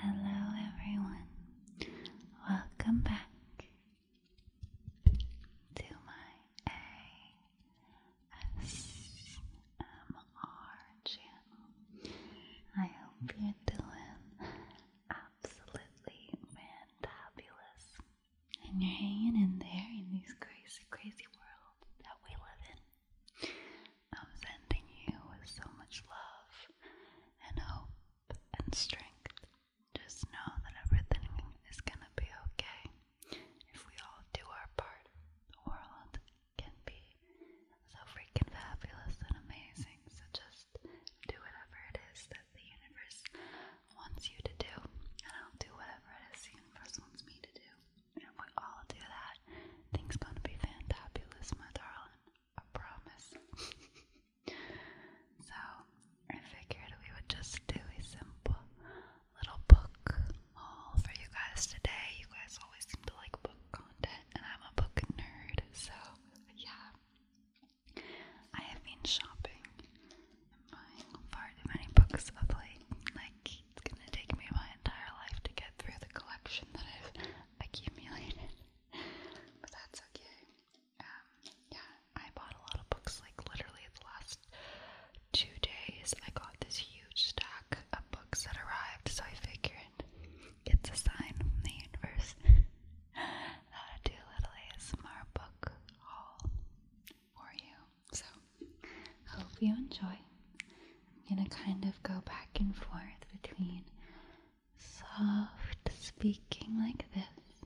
Hello, everyone. Welcome back to my ASMR channel. I hope you're doing absolutely fantabulous and you're hanging in there in this crazy, crazy world that we live in. I'm sending you with so much love and hope and strength. Just know that everything is going to be okay. If we all do our part, the world can be so freaking fabulous and amazing. So just do whatever it is that the universe wants you to do, and I'll do whatever it is the universe wants me to do. And if we all do that, things are gonna be fantabulous, my darling. I promise. so I figured we would just do a simple little book haul for you guys today. You guys always seem to like book content, and I'm a book nerd, so yeah. I have been shopping buying far too many books of Like, it's gonna take me my entire life to get through the collection that I've accumulated but that's okay. Um, yeah, I bought a lot of books. Like literally, the last two days, I got this huge stack of books that arrived. So I figured it's a sign from the universe how to do a little ASMR book haul for you. So hope you enjoy. I'm gonna kind of go back and forth between soft speaking like this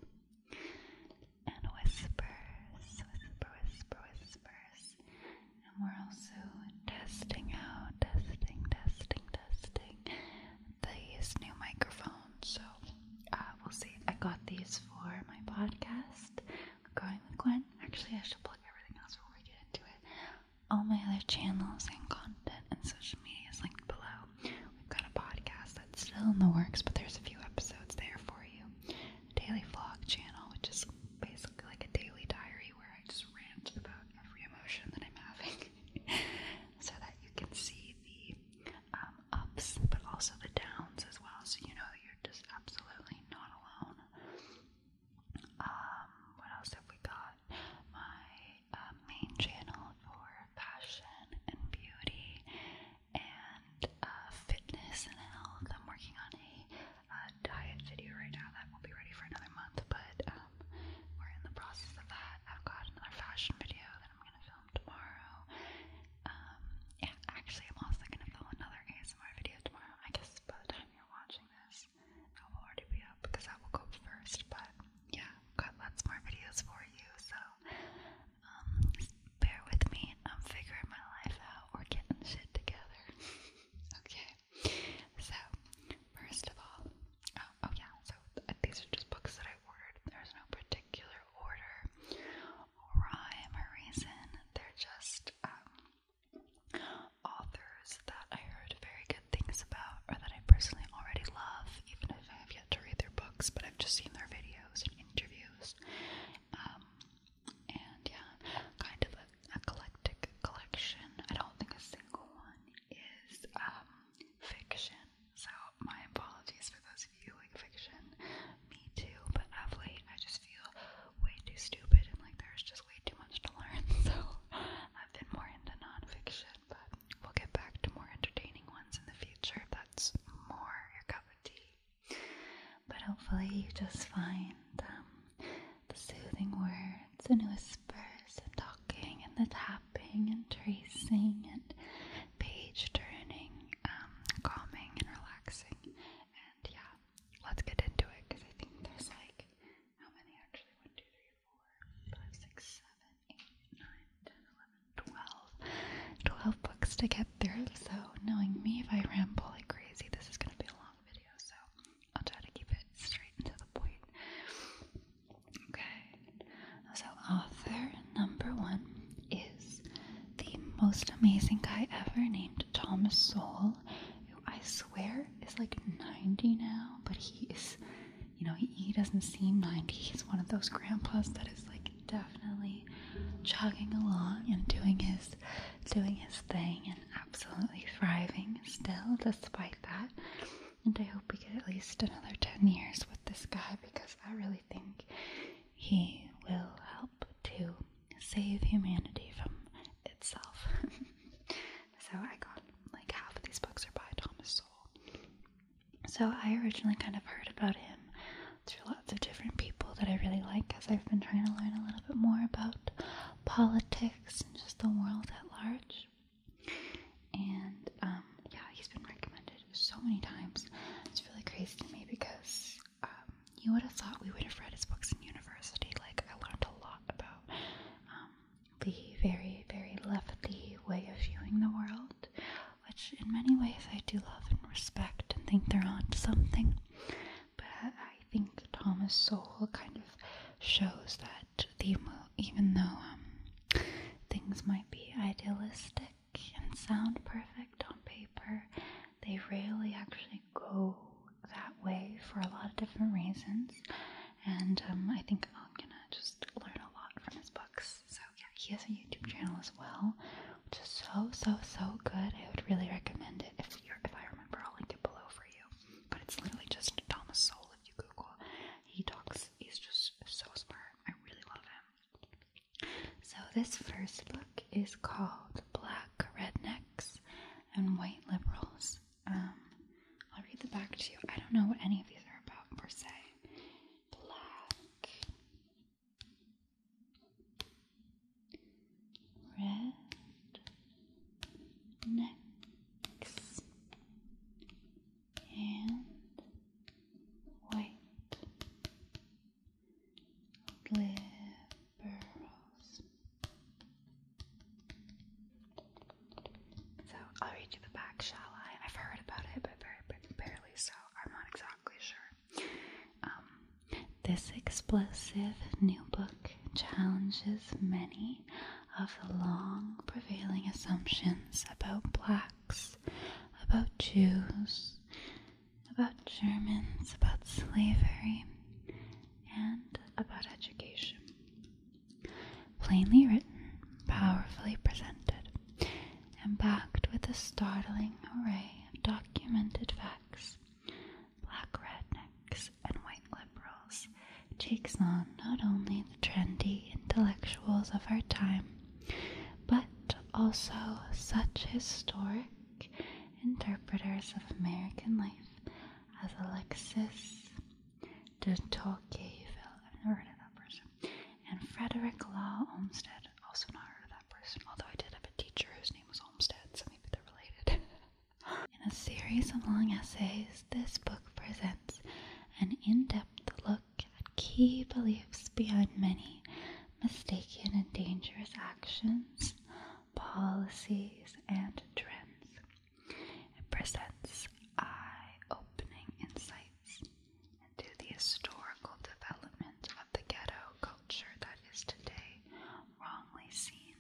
and whispers, whisper, whisper, whispers. And we're also testing out, testing, testing, testing these new microphones. So uh, we'll see. I got these for my podcast, Growing with Gwen. Actually, I should plug everything else before we get into it all my other channels and content and social media is linked below. We've got a podcast that's still in the works, but there's a few episodes there for you. A daily vlog channel, which is basically like a daily diary where I just rant about every emotion that I'm having so that you can see the um, ups but also the downs as well, so you know that you're just absolutely not alone. Um, what else have we got? My main channel for fashion and beauty and uh, fitness and health. I'm working on a uh, diet video right now that will be ready for another month, but um, we're in the process of that. I've got another fashion video that I'm gonna film tomorrow. Um, yeah, actually, I'm also gonna film another ASMR video tomorrow. I guess by the time you're watching this, videos. I will already be up because I will go first, but yeah, got lots more videos for you, so um, bear with me. I'm figuring my life out. We're getting shit together. okay, so first of all, oh, oh yeah, so uh, these are just books that I ordered. There's no particular order or rhyme or reason. They're just um, authors that I heard very good things about or that I personally already love, even if I have yet to read their books, but I've just seen their videos and interviews. Um, and yeah, kind of a eclectic collection. I don't think a single one is um, fiction, so my apologies for those of you who like fiction. Me too, but of late I just feel way too stupid and like there's just way too much to learn, so I've been more into nonfiction but we'll get back to more entertaining ones in the future if that's more your cup of tea. But hopefully, you just find um, the soothing words and whispers and talking and the tapping and tracing and page turning um, calming and relaxing. And yeah, let's get into it because I think there's like how many actually? One, two, three, five, six, seven, eight, nine, ten, eleven, twelve. Twelve books to get through, so knowing me, if I ramble like crazy, this is gonna be a long video, so I'll try to keep it straight and to the point. Okay, so author number one is the most amazing guy ever named Thomas Soul. who I swear is like 90 now, but he is you know, he, doesn't seem 90. He's one of those grandpas that is like definitely chugging along and doing his doing his thing and absolutely thriving still despite that. And I hope we get at least another 10 years with this guy because I really think he will help to save humanity from itself. so I got like half of these books are by Thomas Sowell. So I originally kind of heard about him through lots of different people that I really like because I've been trying to learn a little bit more about politics and just the world at large. And um, yeah, he's been recommended so many times. It's really crazy to me because um, you would have thought we would have read his books in university. Like, I learned a lot about um, the very, very lefty way of viewing the world, which in many ways I do love and respect and think they're onto something. But I think Thomas Sowell kind of shows that the even though um, things might be idealistic and sound perfect on paper, they rarely actually go that way for a lot of different reasons and um, I think I'm gonna just learn a lot from his books. So yeah, he has a YouTube channel as well, which is so so so good. I would really recommend it. If you're, if I remember, I'll link it below for you. But it's literally just Thomas Soul if you Google. He talks. He's just so smart. I really love him. So this first book is called Black Rednecks and White Liberals. Um, I'll read the back to you. I don't know what any of these are about per se. Black, red, necks, and white. Liberals. So I'll read you the back, shall I? I've heard about it, but very barely, so I'm not exactly sure. Um, this explosive new book challenges many of the long prevailing assumptions about blacks, about Jews, about Germans, about slavery, and about education. Plainly written, powerfully presented, and backed with a startling array of documented facts. Black rednecks and white liberals takes on not only the trendy intellectuals of our time, but also such historic interpreters of American life as Alexis de Tocqueville. I've never and Frederick Law Olmsted, also not heard of that person, although I did have a teacher whose name was Olmsted, so maybe they're related. In a series of long essays, this book presents an in depth look at key beliefs behind many mistaken and dangerous actions, policies, and trends. It presents eye opening insights to the historical development of the ghetto culture that is today wrongly seen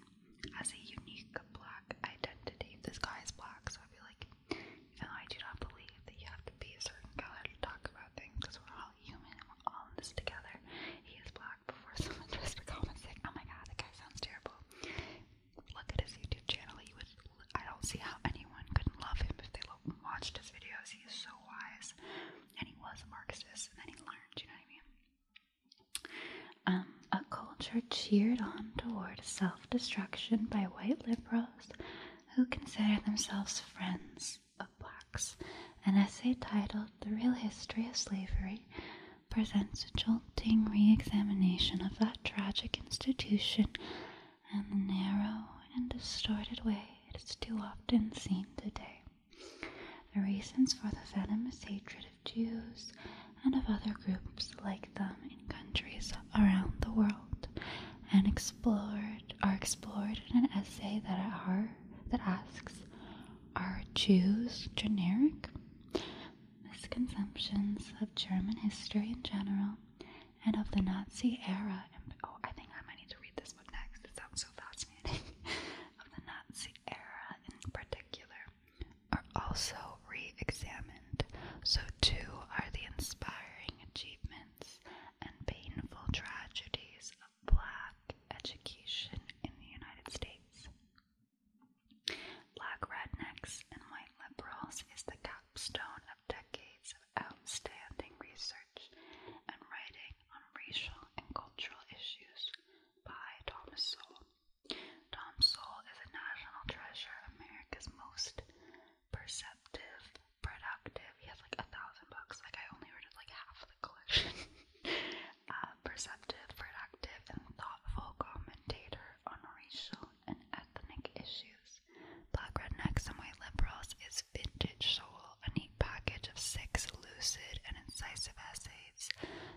as a unique black identity. This guy is black, so I feel like, even though I do not believe that you have to be a certain color to talk about things, because we're all human we're all in this together, he is black. Before someone tries to comment, saying, Oh my god, that guy sounds terrible. Look at his YouTube channel, He would I don't see how anyone couldn't love him if they watched his videos. He is so wise, and he was a Marxist, and then he learned. You know what I mean? Um, a culture cheered on toward self-destruction by white liberals who consider themselves friends of blacks. An essay titled "The Real History of Slavery." presents a jolting re examination of that tragic institution and the narrow and distorted way it is too often seen today. The reasons for the venomous hatred of Jews and of other groups like them in countries around the world and explored are explored in an essay that that asks are Jews generic? Misconceptions of German history in general and of the Nazi era. Oh, I think I might need to read this book next. It sounds so fascinating. of the Nazi era in particular are also re examined. So, too, are the inspiring achievements and painful tragedies of black education in the United States. Black rednecks and white liberals is the capstone of decades of outstanding research and writing on racial and cultural issues by Thomas Sowell. Tom Sowell is a national treasure, America's most perceptive, productive. He has like a thousand books. Like I only ordered like half the collection. uh, perceptive, productive, and thoughtful commentator on racial and ethnic issues rednecks. Black rednecks and white liberals is vintage soul, a neat package of six lucid and incisive essays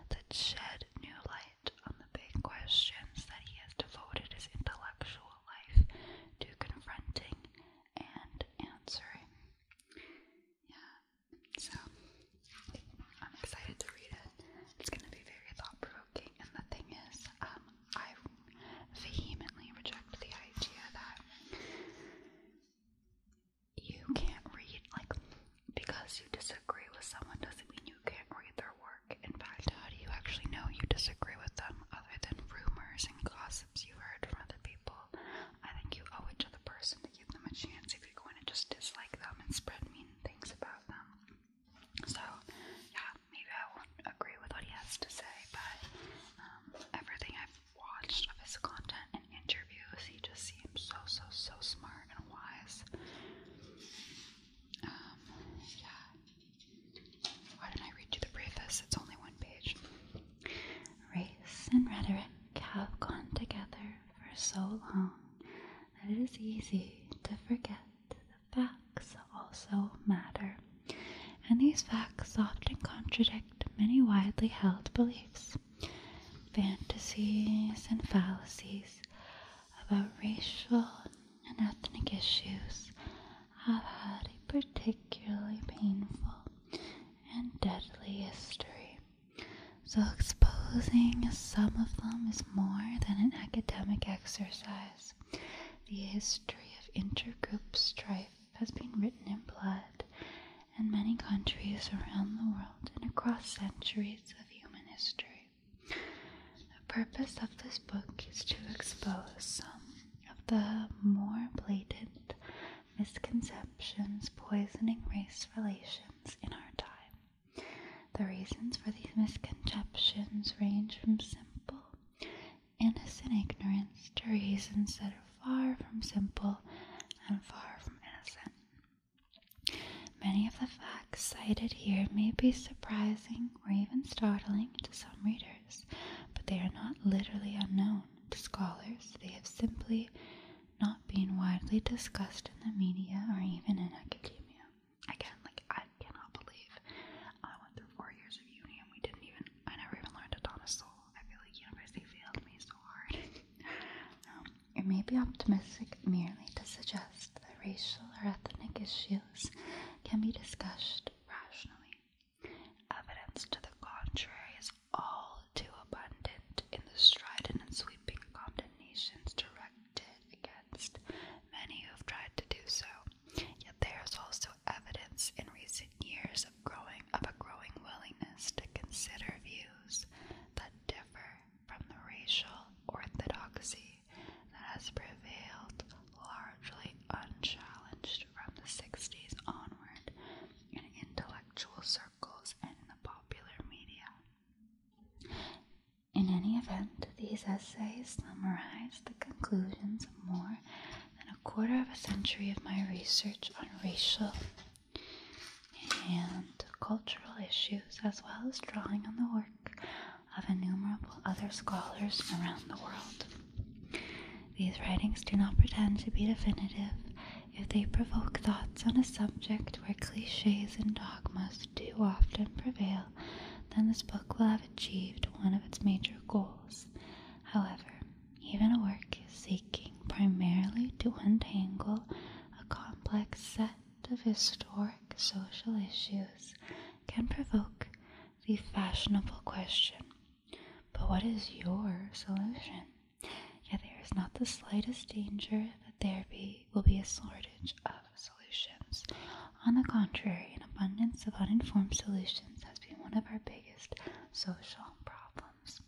that shed new light on the big questions that he has devoted his intellectual life to confronting and answering. Yeah, so I'm excited to read it. It's going to be very thought provoking, and the thing is, um, I vehemently reject the idea that you can't read. Like, because you disagree with someone doesn't mean you can't read their work. In fact, how do you actually know you disagree with them other than rumors and gossips you've heard from other people? I think you owe it to the person to give them a chance if you're going to just dislike them and spread mean things about them. So, yeah, maybe I won't agree with what he has to say, but um, everything I've watched of his content and interviews, he just seems so, so, so smart and wise. Um, yeah. Why didn't I read you the preface? It's only one page. Race and rhetoric have gone together for so long that it is easy to forget Facts also matter, and these facts often contradict many widely held beliefs, fantasies, and fallacies about racial and ethnic issues have had a particularly painful and deadly history. So, exposing some of them is more than an academic exercise. The history of intergroup strife has been written in blood in many countries around the world and across centuries of human history. The purpose of this book is to expose some of the more blatant misconceptions poisoning race relations in our time. The reasons for these misconceptions range from simple innocent ignorance to reasons that are far from simple and far from innocent. Many of the facts cited here may be surprising or even startling to some readers, but they are not literally unknown to scholars. They have simply not been widely discussed in the media or even in academia. Again, like I cannot believe I went through four years of uni and we didn't even I never even learned it a soul. I feel like university failed me so hard. Um, it may be optimistic merely to suggest that racial or ethnic issues can be discussed rationally. Evidence to the contrary is all too abundant in the strident and sweeping condemnations directed against many who have tried to do so. Yet there is also evidence in recent years of growing of a growing willingness to consider views that differ from the racial orthodoxy that has prevailed largely unchallenged from the 60s onward in intellectual circles and in the popular media. In any event, these essays summarize the conclusions more and a quarter of a century of my research on racial and cultural issues, as well as drawing on the work of innumerable other scholars around the world. These writings do not pretend to be definitive if they provoke thoughts on a subject where cliches and dogmas too often prevail, then this book will have achieved one of its major goals However, even a work seeking primarily to untangle a complex set of historic social issues can provoke the fashionable question but what is your solution? Yet there is not the slightest danger that there be, will be a shortage of solutions. On the contrary, an abundance of uninformed solutions has been one of our biggest social problems.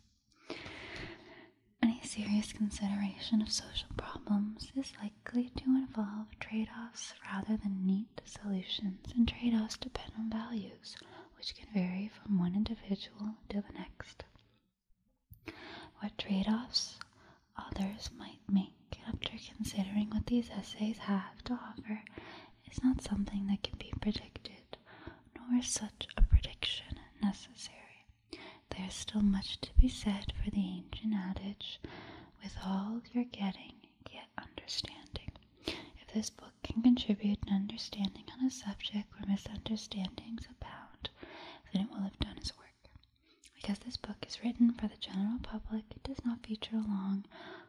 Any serious consideration of social problems is likely to involve trade offs rather than neat solutions, and trade offs depend on values, which can vary from one individual to the next. What trade offs others might make after considering what these essays have to offer is not something that can be predicted, nor is such a prediction necessary. There is still much to be said for the ancient adage, with all you're getting, get understanding. If this book can contribute an understanding on a subject where misunderstandings abound, then it will have done its work. Because this book is written for the general public, it does not feature long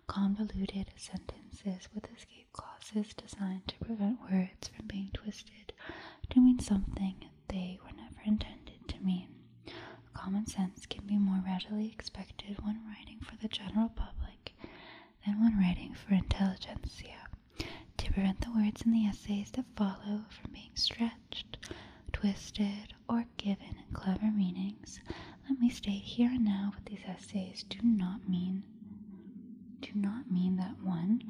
convoluted sentences with escape clauses designed to prevent words from being twisted to mean something they were never intended to mean. Common sense can be more readily expected when writing for the general public than when writing for intelligentsia. To prevent the words in the essays that follow from being stretched, twisted, or given in clever meanings, let me state here and now what these essays do not mean. Do not mean that one,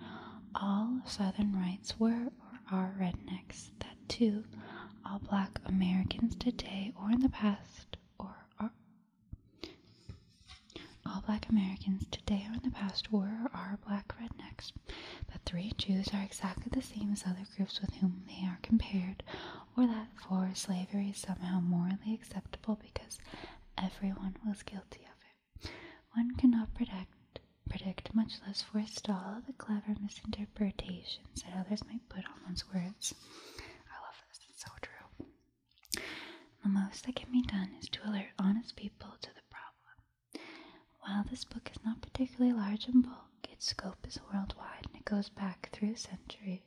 all Southern whites were or are rednecks, that two, all black Americans today or in the past or are all black Americans today or in the past were or are black rednecks. But three Jews are exactly the same as other groups with whom they are compared, or that for slavery is somehow morally acceptable because everyone was guilty of it. One cannot predict, predict much less forestall the clever misinterpretations that others might put on one's words. I love this, it's so true. The most that can be done is to alert honest people to the problem. While this book is not particularly large in bulk, its scope is worldwide and it goes back through a century.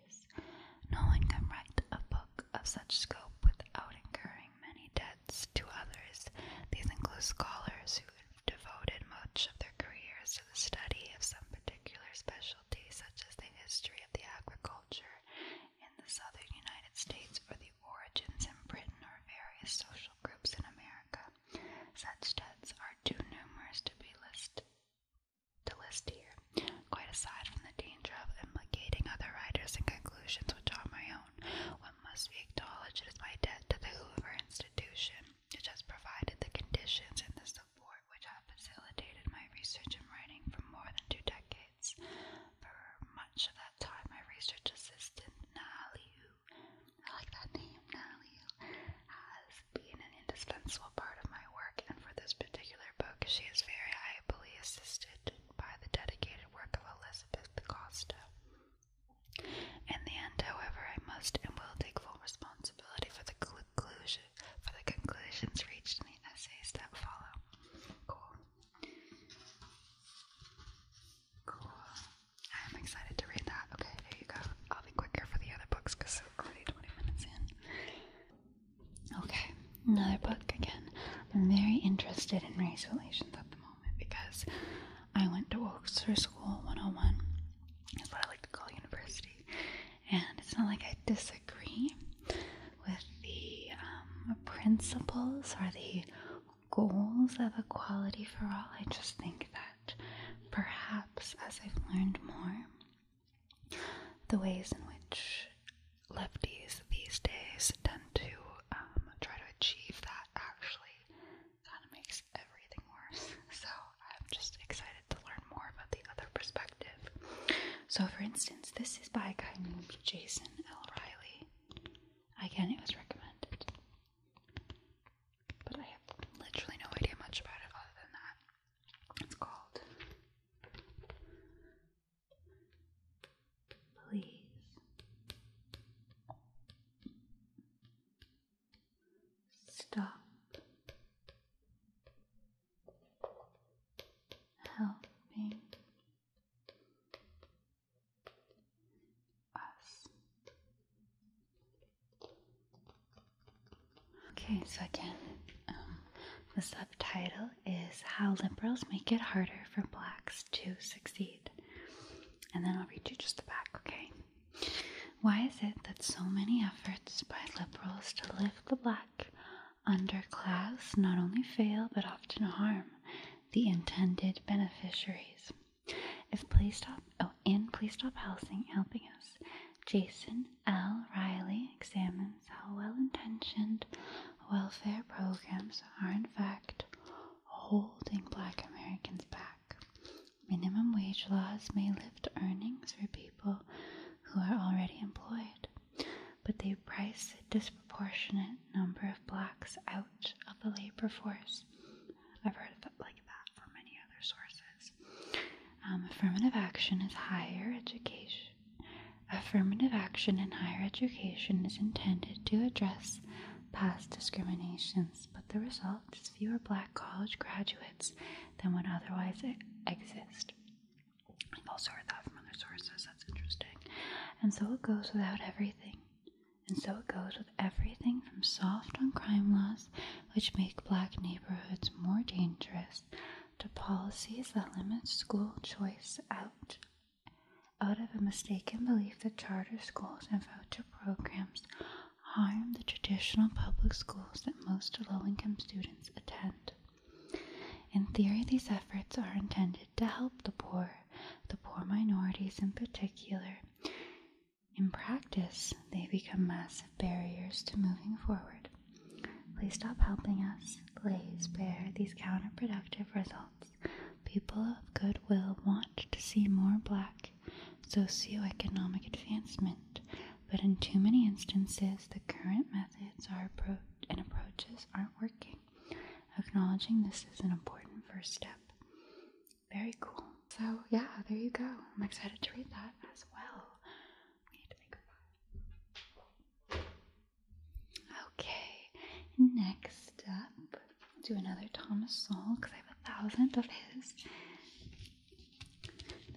No one can write a book of such scope without incurring many debts to others. These include scholars who have devoted much of their careers to the study of some particular specialty, such as the history of the agriculture in the southern United States or the origins in Britain or various social groups in America. Such debts are too numerous to be listed to list here. Quite aside from the danger of implicating other writers in conclusions which are my own, one must be acknowledged as my debt to the Hoover Institution, which has provided the conditions and the support which have facilitated my research and writing for more than two decades. For much of that time, my research assistant, Naliu, I like that name, Naliu, has been an indispensable part of my my work, and for this particular book, she is very ably assisted by the dedicated work of Elizabeth Costa. In the end, however, I must and will take full responsibility for the conclusion for the conclusions reached in the essays that follow. Cool. Cool. I'm excited to read that. Okay, here you go. I'll be quicker for the other books because we're already 20 minutes in. Okay, another book again. I'm very interested in race relations at the moment because I went to Oxford School 101. That's what I like to call university. And it's not like I disagree with the um, principles or the goals of equality for all. I just think that perhaps as I've learned more the ways in which lefties these days tend to um, try to achieve that actually kind of makes everything worse. So I'm just excited to learn more about the other perspective. So, for instance, this is by a guy named Jason L. Riley. Again, it was recommended, but I have literally no idea much about it other than that. It's called Please stop. Helping us. Okay, so again, um, the subtitle is how liberals make it harder for blacks to succeed. And then I'll read you just the back, okay? Why is it that so many efforts by liberals to lift the black underclass not only fail but often harm the intended beneficiaries? If Please Stop, oh, and Please Stop Housing Helping Us, Jason L. Riley examines how well intentioned welfare programs are, in fact, holding black Americans back. Minimum wage laws may lift earnings for people who are already employed, but they price a disproportionate number of blacks out of the labor force. I've heard of that from many other sources. Um, affirmative action is higher education Affirmative action in higher education is intended to address past discriminations, but the result is fewer black college graduates than would otherwise exist. I've also heard that from other sources, that's interesting. And so it goes without everything. And so it goes with everything from soft on crime laws, which make black neighborhoods more dangerous, to policies that limit school choice out out of a mistaken belief that charter schools and voucher programs harm the traditional public schools that most low-income students attend. In theory, these efforts are intended to help the poor, the poor minorities in particular. In practice, they become massive barriers to moving forward Please stop helping us Please bear these counterproductive results. People of goodwill want to see more black socioeconomic advancement, but in too many instances, the current methods are and approaches aren't working. Acknowledging this is an important first step. Very cool. So, yeah, there you go. I'm excited to read that as well. I need to make a Okay, next up, do another Thomas Sowell because I have a thousand of his.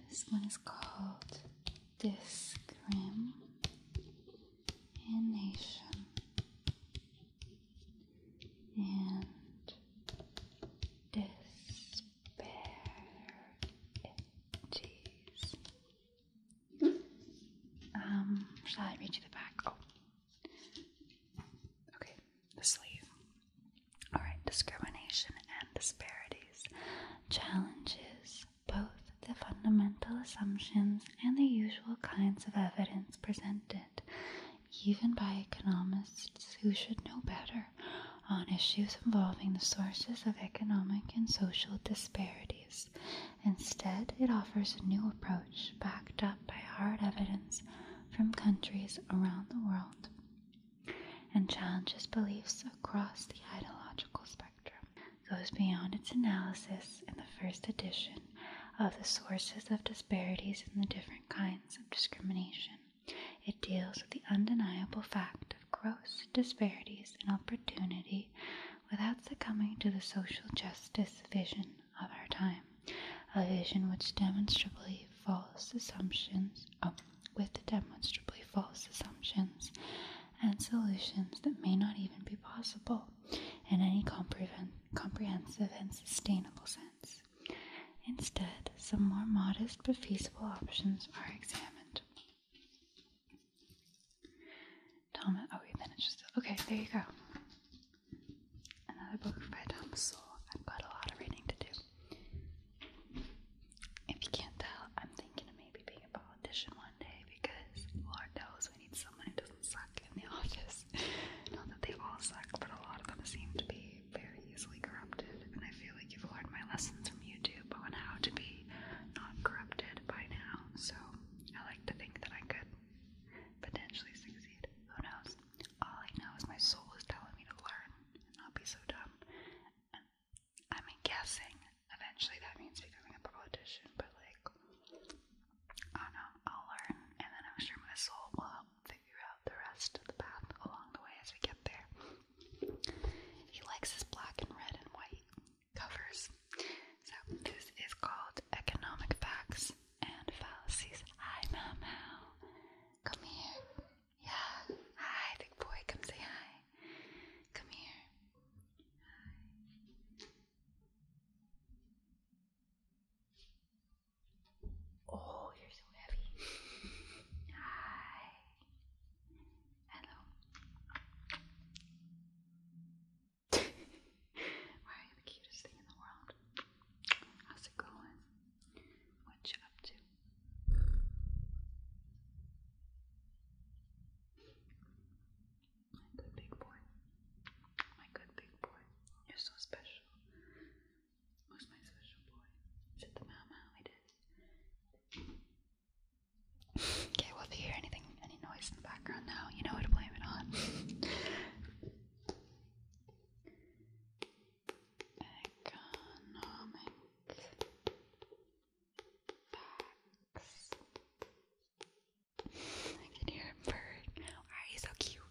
This one is called Discrim and Despair um, shall I read you the back? Oh. Okay, the sleeve. Alright, discrimination and disparities challenges both the fundamental assumptions and the usual kinds of evidence presented, even by economists who should know better, on issues involving the sources of economic and social disparities. Instead, it offers a new approach backed up by hard evidence from countries around the world and challenges beliefs across the ideological spectrum, goes beyond its analysis in the first edition of the sources of disparities and the different kinds of discrimination. It deals with the undeniable fact of gross disparities in opportunity without succumbing to the social justice vision of our time, a vision which demonstrably false assumptions, oh, with demonstrably false assumptions and solutions that may not even be possible in any comprehensive and sustainable sense. Instead, some more modest but feasible options are examined. Thomas. Oh, then it's just okay. There you go. Another book by Thomas Sowell. I've got a lot of reading to do. If you can't tell, I'm thinking of maybe being a politician one day because Lord knows we need someone who doesn't suck in the office. Not that they all suck, but a lot of them seem to be very easily corrupted. And I feel like you've learned my lessons from YouTube on how to be not corrupted by now. So. I like to think that I could potentially succeed. Who knows? All I know is my soul is telling me to learn and not be so dumb. I am guessing eventually that means becoming a politician, but like, I don't know, I'll learn, and then I'm sure my soul will help figure out the rest of the path along the way as we get there. He likes his black and red and white covers. So this is called Economic Facts and Fallacies. Hi, Mau Come here. Yeah. Hi, big boy. Come say hi. Come here. Oh, you're so heavy. Hi. Hello. Why are you the cutest thing in the world? How's it going? What you up to? My good big boy. My good big boy. You're so special. Who's my special boy? Is it the mama? It is. Okay, well, if you hear anything, any noise in the background now, you know who to blame it on. Economic I can hear a bird. Why are you so cute?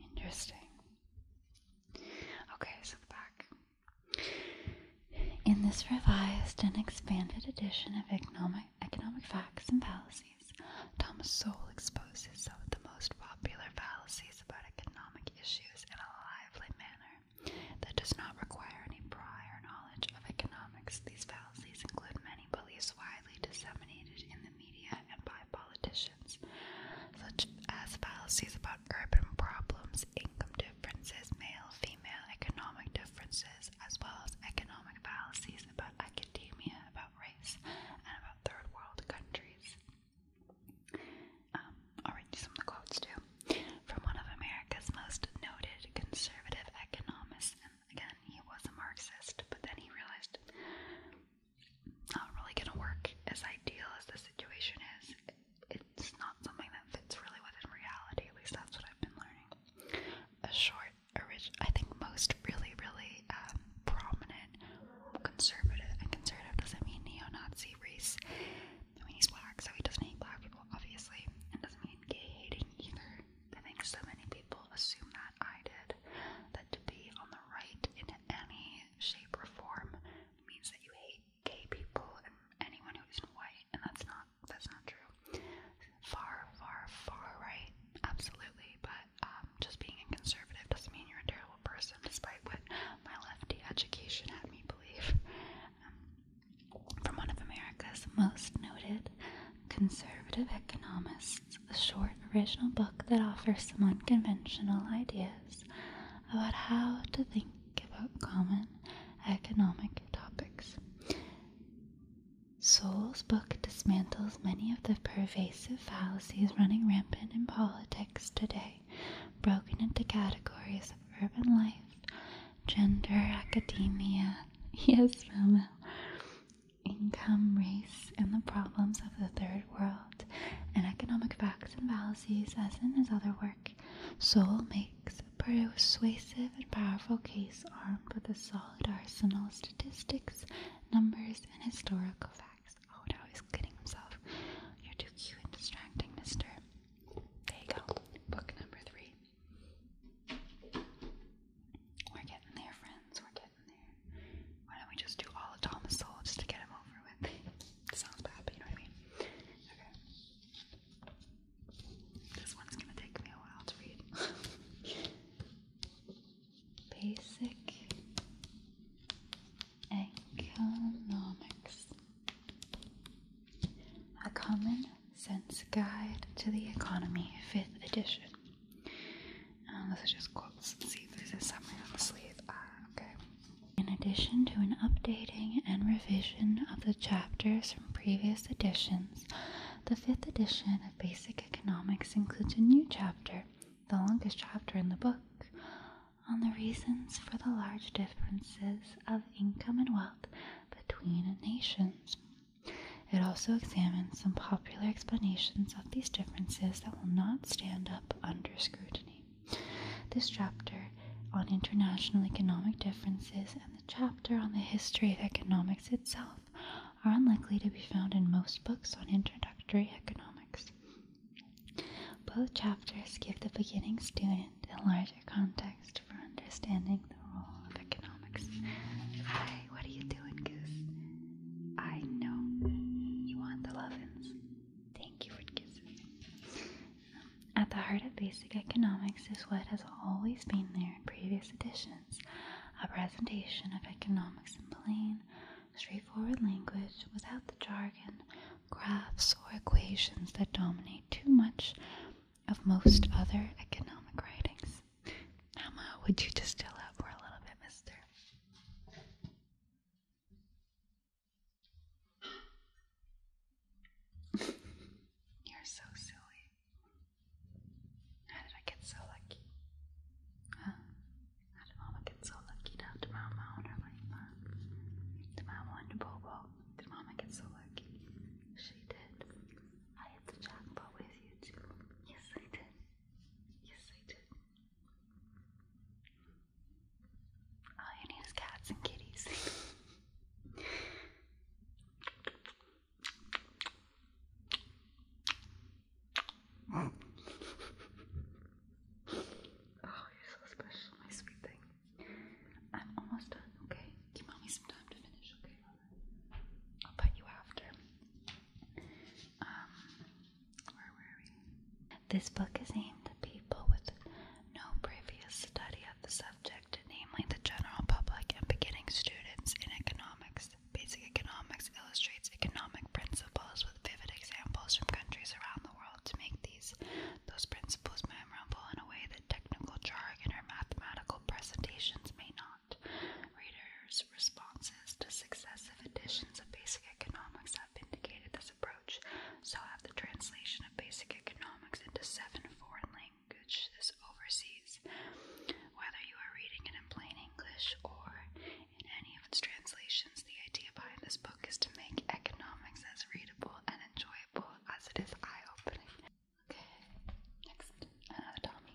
Interesting. Okay, so back. In this revised and expanded edition of Economic, Facts and Fallacies, Thomas Sowell exposes some of the most popular fallacies about economic issues in a lively manner that does not require any prior knowledge of economics policies include many beliefs widely disseminated in the media and by politicians, such as policies about urban problems, income differences, male female economic differences, as well as economic policies about academia, about race, and about third world countries. Um, I'll read you some of the quotes too. From one of America's most noted conservative economists Again, he was a Marxist, but then he realized not really gonna work. As ideal as the situation is, it's not something that fits really within reality. At least that's what I've been learning. A short, original, I think most really, really um, prominent conservative, and conservative doesn't mean neo-Nazi race. I mean, he's black, so he doesn't hate black people, obviously. and doesn't mean gay hating either. I think so many people assume that I did, that to be on the right in any shape or form means that you hate gay people and anyone who isn't white, and that's not that's not true. Far, far, far right, absolutely. But um, just being a conservative doesn't mean you're a terrible person, despite what my lefty education had me believe. Um, from one of America's most noted conservative economists, a short original book that offers some unconventional ideas about how to think about common economic topics. Sowell's book dismantles many of the pervasive fallacies running rampant in politics today, broken into categories of urban life gender, academia, yes, Momo, income, race, and the problems of the third world, and economic facts and fallacies, as in his other work. Soul makes a persuasive and powerful case armed with a solid arsenal of statistics, numbers, and historical facts. Oh, he's kidding himself. You're too cute and distracting, mister. There you go. Book number three. We're getting there, friends. We're getting there. Why don't we just do all of Thomas Soul just to get him over with? Sounds bad, but you know what I mean. Okay. This one's gonna take me a while to read. Basic economics. A common Sense Guide to the Economy, 5th edition. Um, this is just quotes. see if there's a summary on the sleeve. Ah, okay. In addition to an updating and revision of the chapters from previous editions, the 5th edition of Basic Economics includes a new chapter, the longest chapter in the book, on the reasons for the large differences of income and wealth between nations. It also examines some popular explanations of these differences that will not stand up under scrutiny. This chapter on international economic differences and the chapter on the history of economics itself are unlikely to be found in most books on introductory economics. Both chapters give the beginning student a larger context for understanding at the heart of basic economics is what has always been there in previous editions a presentation of economics in plain, straightforward language without the jargon, graphs, or equations that dominate too much of most other economic writings. Emma, would you just chill out for a little bit, mister? You're so silly. How did I get so lucky? Huh? How did Mama get so lucky to have Mama on her life, huh? Did Mama and Bobo? Did Mama get so lucky? She did. I had the about with you too. Yes, I did. Yes, I did. All you need is cats and kitties. oh, you're so special, my sweet thing. I'm almost done, okay? Give me some time to finish, okay? Um, this book is aimed at people with no previous study of the subject, namely the general public and beginning students in economics. Basic economics illustrates economic principles with vivid examples from countries around the world to make these those principles memorable in a way that technical jargon or mathematical presentations may not. Readers responses to successive editions of Basic Economics have indicated this approach. So have the translation of Basic Economics into seven foreign languages overseas. Whether you are reading it in plain English or in any of its translations, the idea behind this book is to make economics as readable and enjoyable as it is eye opening. Okay, next, another uh, Tommy.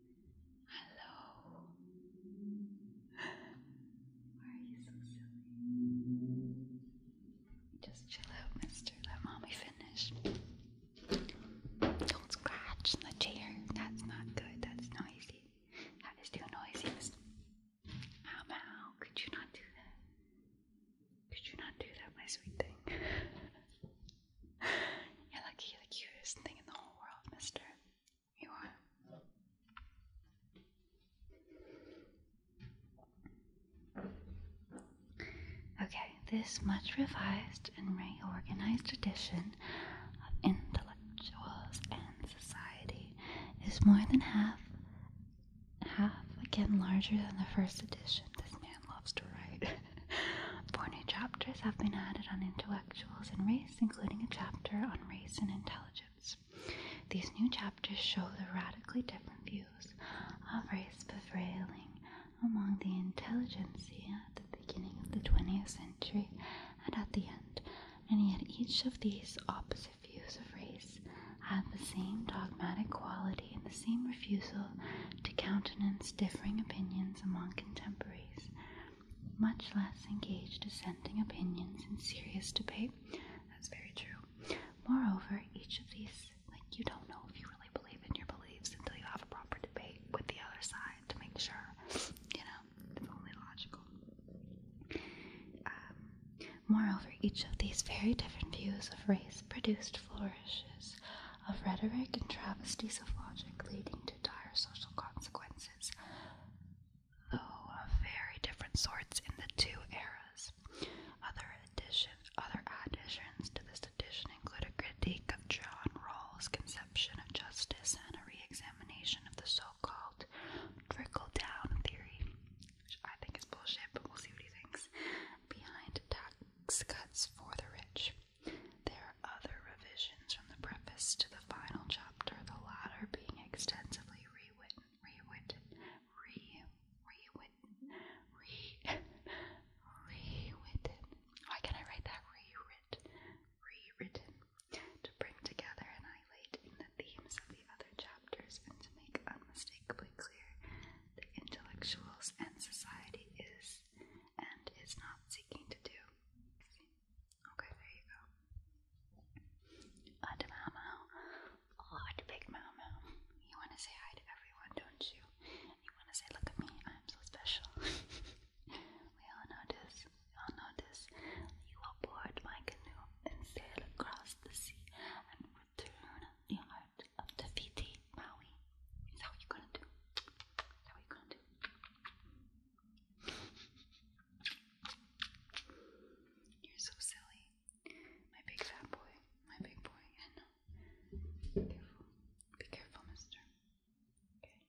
Hello. Why are you so silly? Just chill out, mister. Let mommy finish. Don't scratch the chair. That's not good. That's noisy. That is too noisy, mister. Ow, Could you not do that? Could you not do that, my sweet thing? You're lucky the cutest thing in the whole world, mister. You want? Okay, this much revised and reorganized edition of Intellectuals and Society is more than half, half again larger than the first edition. This man loves to write. Four new chapters have been added on intellectuals and race including a chapter on race and intelligence. These new chapters show the radically different views of race prevailing among the intelligentsia at the beginning of the 20th century and at the end, and yet each of these opposite views of race had the same dogmatic quality and the same refusal to countenance differing opinions among contemporaries much less engage dissenting opinions in serious debate. That's very true. Moreover, each of these, like, you don't know if you really believe in your beliefs until you have a proper debate with the other side to make sure, you know, it's only logical. Um, moreover, each of these very different views of race produced flourishes of rhetoric and travesties of logic, leading to dire social consequences though of very different sorts in the two eras. Other, addition, other additions to this edition include a critique of John Rawls' conception of justice and a re of the so-called trickle-down theory, which I think is bullshit, but we'll see what he thinks, behind tax cuts for the rich. There are other revisions from the preface to the final chapter chapter, the latter being extensively rewritten, rewritten, rewritten, rewritten. Why can I write that rewritten, rewritten? To bring together and highlight the themes of the other chapters and to make unmistakably clear the intellectuals and society is and is not seeking to do. Okay, there you go. Odd Mau Mau. Big Mau You want to say hi to everyone, don't you? You want to say, look at me, I'm so special. we all know this. We all know this. You will board my canoe and sail across the sea and return the heart of the Fiti Maui. Is that what you're going to do? what you're going to do? You're so silly. My big fat boy. My big boy. Be careful. Be careful, mister. Okay.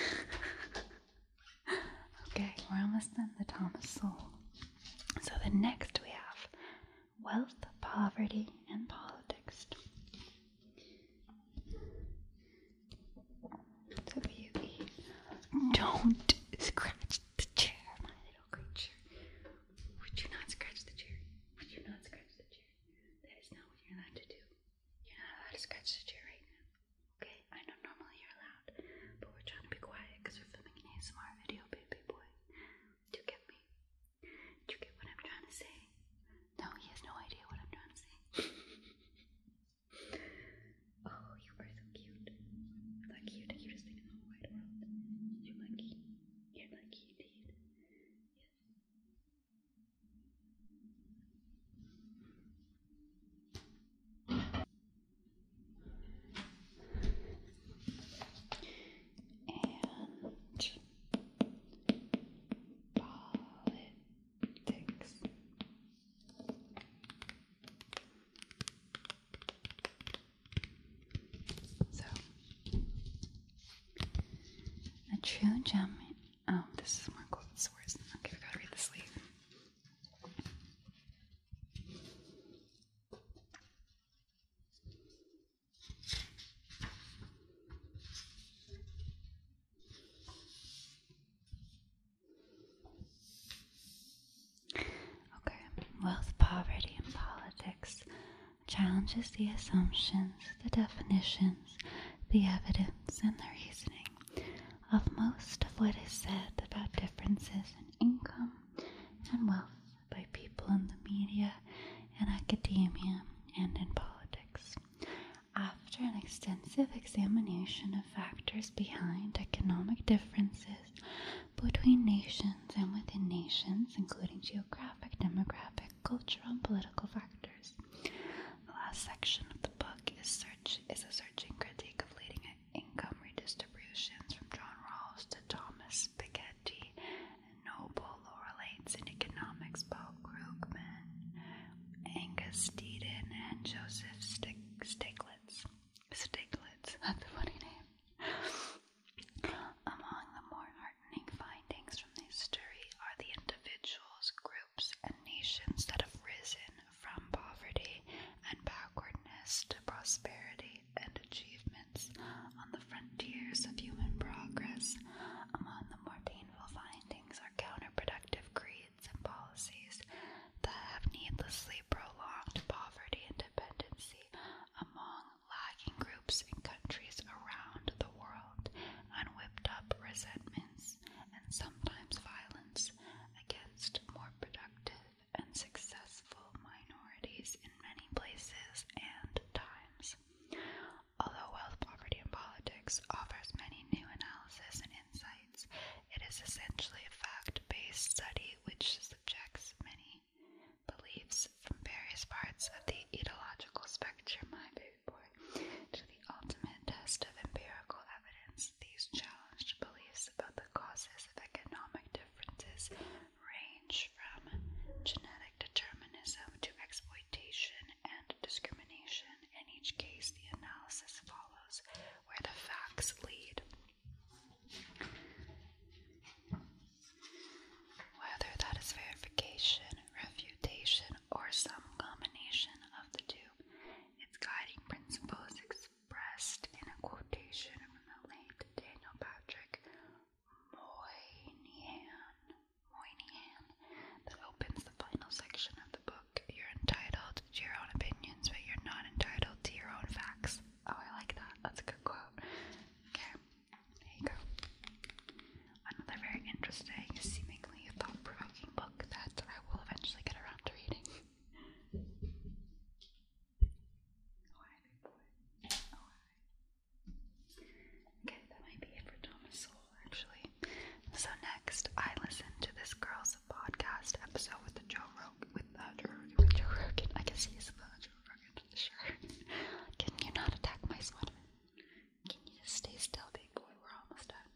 I know. okay, we're almost done the Thomas Soul. So the next we have wealth, poverty, and politics don't scratch the chair, my little creature. Would you not scratch the chair? Would you not scratch the chair? That is not what you're allowed to do. You're not allowed to scratch the chair right now. Okay, I know normally you're allowed, but we're trying to be quiet because we're filming an ASMR video, baby boy. Do you get me? Do you get what I'm trying to say? No, he has no idea what I'm trying to say. oh, you are so cute. Like you're the in the whole world. You're lucky. You're lucky indeed. Yes. And Politics. So, a true gem. Oh, this is more cool. It's worse. Okay, I gotta read the sleeve. Okay, wealth, poverty, and politics challenges the assumptions, the definitions, the evidence, and the reasoning of most of what is said about differences in income and wealth by people in the media, in academia, and in politics. After an extensive examination of factors behind economic differences between nations and within nations, including geographic, demographic, cultural, and political factors, the last section of the book is, a searching critique of leading income redistributions from John Rawls to Thomas Piketty and Noble Volo relates economics Paul Krugman, Angus Deaton, and Joseph Stiglitz. Stiglitz, that's a funny name. Among the more heartening findings from this study are the individuals, groups, and nations that have risen from poverty and backwardness to prosperity and achievements on the frontiers of human progress among the more painful findings are counterproductive creeds and policies that have needlessly prolonged poverty and dependency among lagging groups and countries around the world and whipped up resentments and sometimes violence against more productive and successful minorities in many places and times. Although wealth, poverty, and politics offers many new analysis and insights, it is essentially a fact-based study which subjects many beliefs from various parts of the ideological spectrum, to the ultimate test of empirical evidence. These challenged beliefs about the causes of economic differences range from genetic determinism to exploitation and discrimination. In each case, the analysis follows where the facts lead. Whether that is verification, refutation, or some combination of the two, its guiding principle is expressed in a quotation from the late Daniel Patrick Moynihan. Whiny Hand that opens the final section of the book. You're entitled to your own opinions, but you're not entitled to your own facts. Oh, I like that. That's a good quote. Okay, there you go. Another very interesting, seemingly thought provoking book that I will eventually get around to reading. Oh, oh, okay, that might be it for Thomas actually. So next, I listened to this girl's podcast episode with the Joe Rogan, with, uh, Joe, with Joe Rogan. I guess he's the Joe Rogan, sure. Can you not attack my sweater? Can you just stay still, big boy? We're almost done.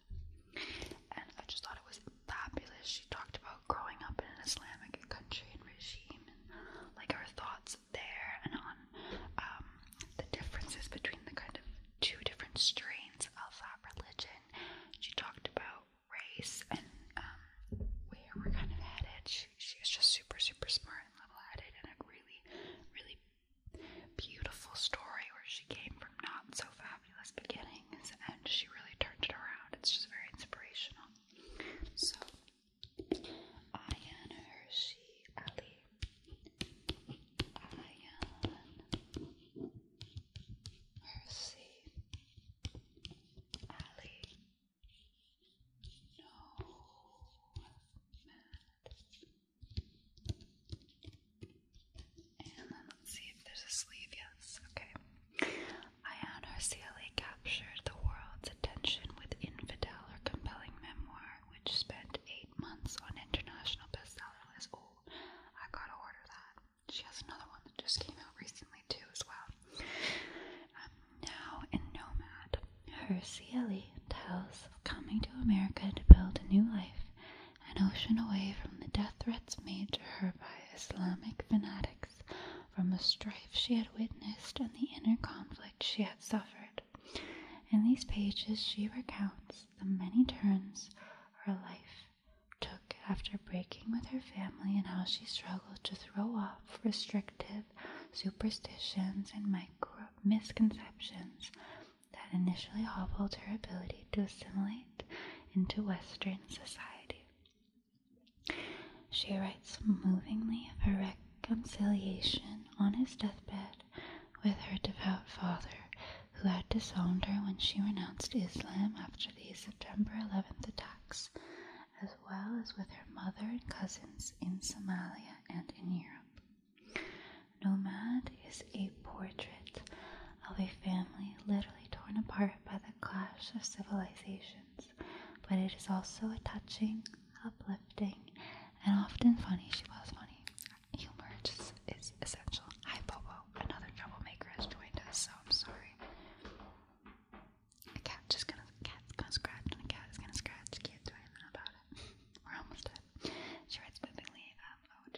And I just thought it was fabulous. She talked about growing up in an Islamic country and regime, like her thoughts there, and on um, the differences between the kind of two different strains of that religion. She talked about race and um, where we're kind of headed. She, was just super, super smart and level headed, and a really, really beautiful story where she came from not so fabulous beginnings and she really turned it around. It's just very inspirational. So, Ayan Hershey Ali Ayan, Mercy, Ali, No, Mad. And then let's see if there's a sleeve. Yes, okay. Ayan Arceli captured the world's attention with Infidel, her compelling memoir, which spent eight months on international bestseller lists. I gotta order that. She has another one that just came out recently too as well. Um, now in Nomad, her CLE tells of coming to America to build a new life, an ocean away from the death threats made to her by Islamic fanatics, from the strife she had witnessed and the inner conflict she had suffered. In these pages, she recounts the many turns her life took after breaking with her family and how she struggled to throw off restrictive superstitions and misconceptions that initially hobbled her ability to assimilate into Western society. She writes movingly of her reconciliation on his deathbed with her devout father, who had disowned her when she renounced Islam after the September 11th attacks, as well as with her mother and cousins in Somalia and in Europe. Nomad is a portrait of a family literally torn apart by the clash of civilizations, but it is also a touching, uplifting, and often funny. She was funny. Humor just is essential. Hi, Bobo. Another troublemaker has joined us, so I'm sorry. A cat just gonna cat's gonna scratch and a cat is gonna scratch. Can't do anything about it. We're almost done. She writes um, oh,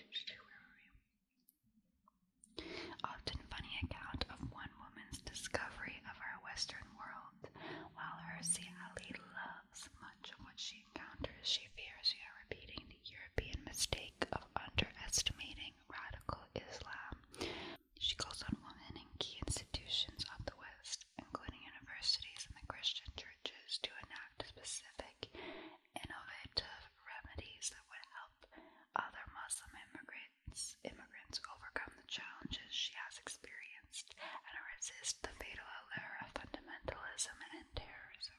Often funny account of one woman's discovery of our Western world, while her Siali loves much of what she she encounters, she fears you are repeating the European mistake of underestimating radical Islam. She calls on women in key institutions of the West, including universities and the Christian churches, to enact specific, innovative remedies that would help other Muslim immigrants overcome the challenges she has experienced and resist the fatal allure of fundamentalism and terrorism.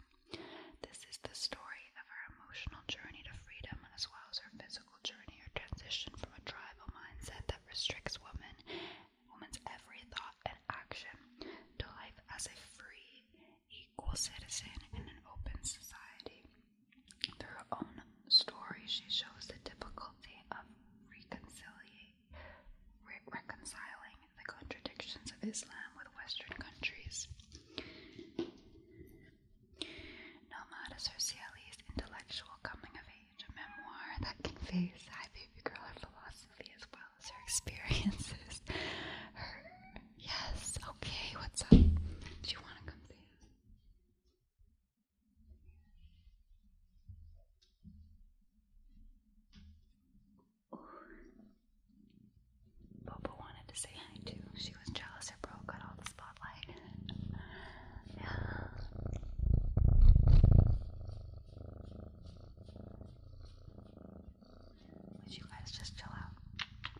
This is the story of her emotional journey to freedom, as well as her physical journey, her transition from a tribal mindset that restricts women, women's every thought and action, to life as a free, equal citizen in an open society. Through her own story, she shows the difficulty of reconciling. reconciling the contradictions of Islam with Western countries. Nomad is her intellectual coming of age, memoir that conveys Hi Girl philosophy as well as her experiences. yes, okay, what's up? Do you wanna come see Popo wanted to say hi too. She was jealous her bro got all the spotlight. Would you guys just chill out?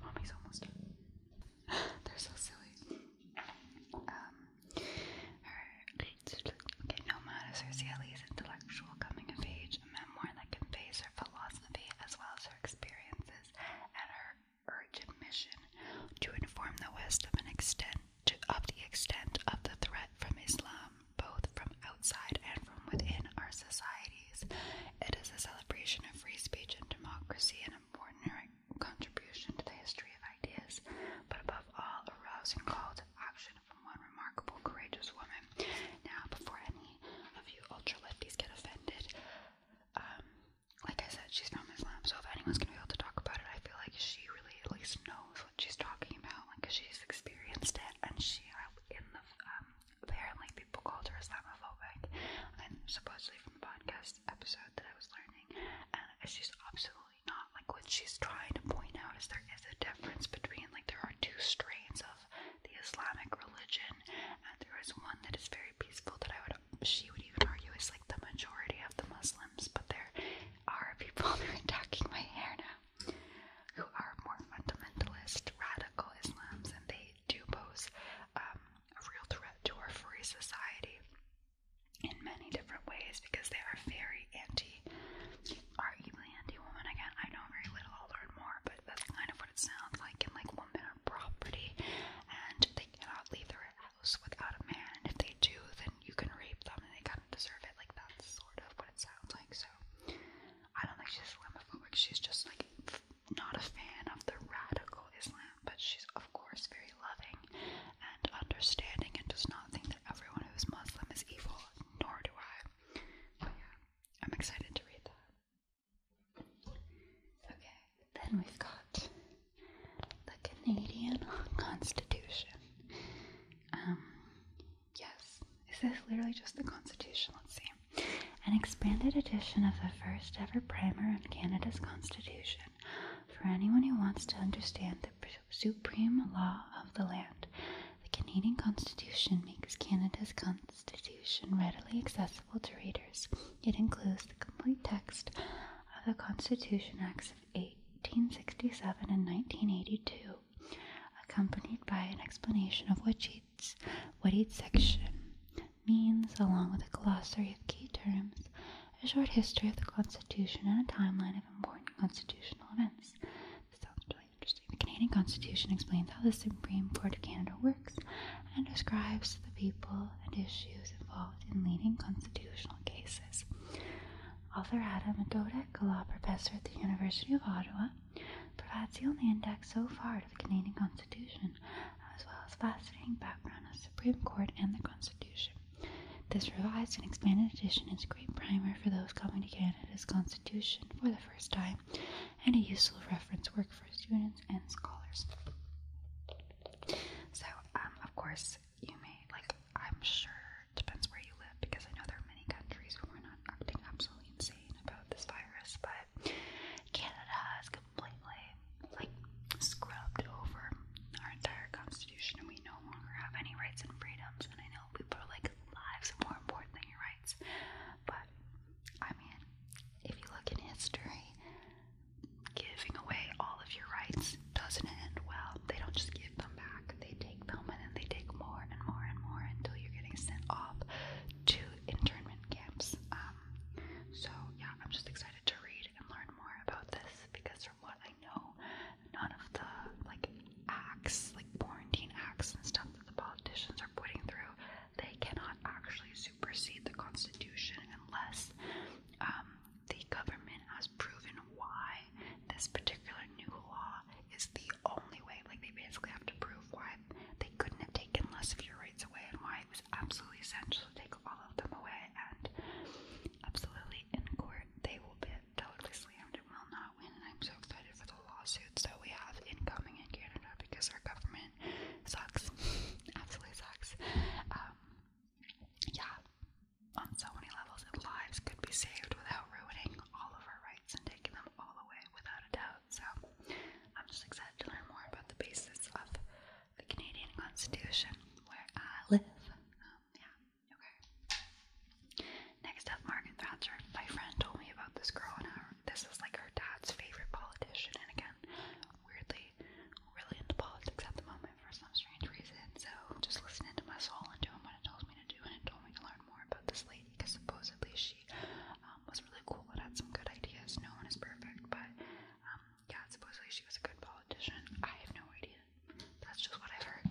Mommy's almost done. They're so silly. Um, okay, Nomad is her intellectual coming of age, memoir that conveys her philosophy as well as her experiences and her urgent mission to inform the West of of the extent of the threat from Islam, both from outside and from within our societies. It is a celebration of free speech and democracy, an important contribution to the history of ideas, but above all, a rousing call to action from one remarkable, courageous woman. Now, before any many of ultra lefties get offended. Um, like I said, she's from Islam, so if anyone's gonna be able to talk about it, I feel like she really at least knows what she's talking about, because she's experienced it, and she uh, um, apparently people called her Islamophobic, and supposedly from the podcast episode that I was learning, and she's absolutely not. Like what she's trying to point out is there is a difference between like there are two strains of the Islamic religion, and there is one that is very peaceful that I would she would even argue is like the majority of the Muslims, but there are people who are attacking my hair now who are more fundamentalist, radical Islams, and they do pose um, a real threat to our free society in many different ways because they are very anti, arguably anti-woman. Again, I know very little. I'll learn more, but but that's kind of what it sounds like in like women are property and they cannot leave their house without a man. If they do, then you can rape them and they kind of deserve it. Like that's sort of what it sounds like. So I don't think she's Islamophobic. She's just like not a fan of the radical Islam, but she's of course very loving and understanding and does not think that everyone who is Muslim is evil, nor do I. But yeah, I'm excited to read that. Okay, then we've got the Canadian Constitution. Um, yes, is this literally just the Constitution? Let's see. An expanded edition of the first ever primer on Canada's Constitution for anyone who wants to understand the supreme law of the land. The Canadian Constitution makes Canada's con Constitution readily accessible to readers. It includes the complete text of the Constitution Acts of 1867 and 1982, accompanied by an explanation of what each, section means, along with a glossary of key terms, a short history of the Constitution, and a timeline of important constitutional events. This sounds really interesting. The Canadian Constitution explains how the Supreme Court of Canada works and describes the people and issues involved in leading constitutional cases. Author Adam Dodek, a law professor at the University of Ottawa, provides the only index so far to the Canadian Constitution, as well as fascinating background on the Supreme Court and the Constitution. This revised and expanded edition is a great primer for those coming to Canada's Constitution for the first time and a useful reference work for students and scholars. So, um, of course, you may, like, I'm sure it depends where you live because I know there are many countries where are not acting absolutely insane about this virus, but Canada is completely, like, scrubbed over our entire constitution and we no longer have any rights and freedoms. And I know people are like, lives are more important than your rights, but I mean, if you look in history, giving away all of your rights doesn't end well. They don't just give them back, they take them and then they take more and more and more until you're getting sent off to internment camps. Um, so, yeah, I'm just excited to read and learn more about this because, from what I know, none of the like acts, like quarantine acts and stuff that the politicians are putting through they cannot actually supersede the Constitution unless um, the government has proven why this particular new law is the only way. Like, they basically have to prove why they couldn't have taken less of your rights away and why it was absolutely essential to take all of them away. And absolutely, in court, they will be totally slammed and will not win. And I'm so excited for the lawsuits that we have incoming in Canada because our government sucks. Absolutely sucks. Um, yeah, on so many levels, lives could be saved without ruining all of our rights and taking them all away without a doubt. So, I'm just excited to learn more about the basis of the Canadian Constitution where I live. Um, yeah, okay. Next up, Margaret Thatcher. My friend told me about this girl an hour this is like her dad's favorite politician, and again, weirdly, really into politics at the moment for some strange reason. So just listening to my soul and doing what it tells me to do, and it told me to learn more about this lady because supposedly she um, was really cool and had some good ideas. No one is perfect, but um, yeah, supposedly she was a good politician. I have no idea. That's just what i heard.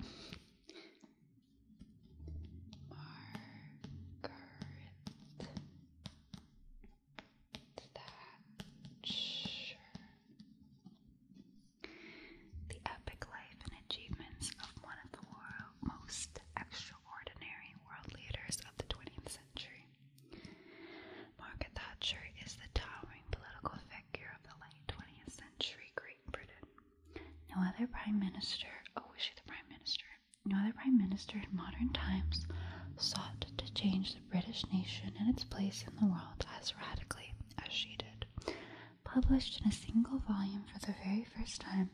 Margaret the epic life and achievements of one of the world, most extraordinary world leaders of the 20th century. Margaret Thatcher is the towering political figure of the late 20th century Great Britain. No other prime minister, oh, was she the prime minister? no other prime minister in modern times sought to change the British nation and its place in the world as radically as she did. Published in a single volume for the very first time,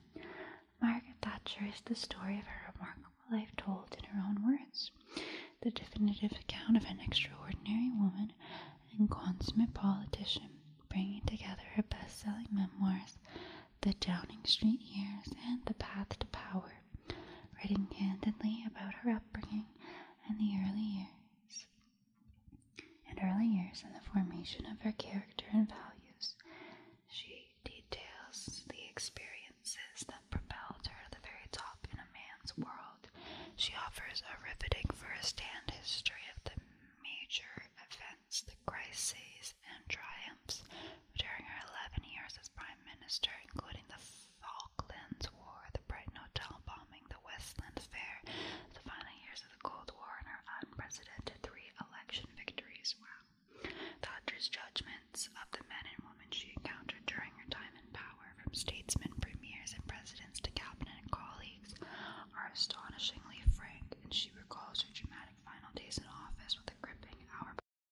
Margaret Thatcher is the story of a remarkable life told in her own words, the definitive account of an extraordinary woman and consummate politician bringing together her best selling memoirs, The Downing Street Years and The Path to Power writing candidly about her upbringing and the early years and early years in the formation of her character and values. She details the experiences that propelled her to the very top in a man's world. She offers a riveting first-hand history of the major events, the crises and triumphs during her 11 years as Prime Minister, including the Falklands War, the Brighton Hotel bombing, the Westland Fair, the final years of the Cold War, and her unprecedented three election victories. Wow. Thatcher's judgments of the men and women she encountered during her time in power, from statesmen, premiers, and presidents to cabinet colleagues, are astonishingly frank, and she recalls her dramatic final days in office with a gripping hour.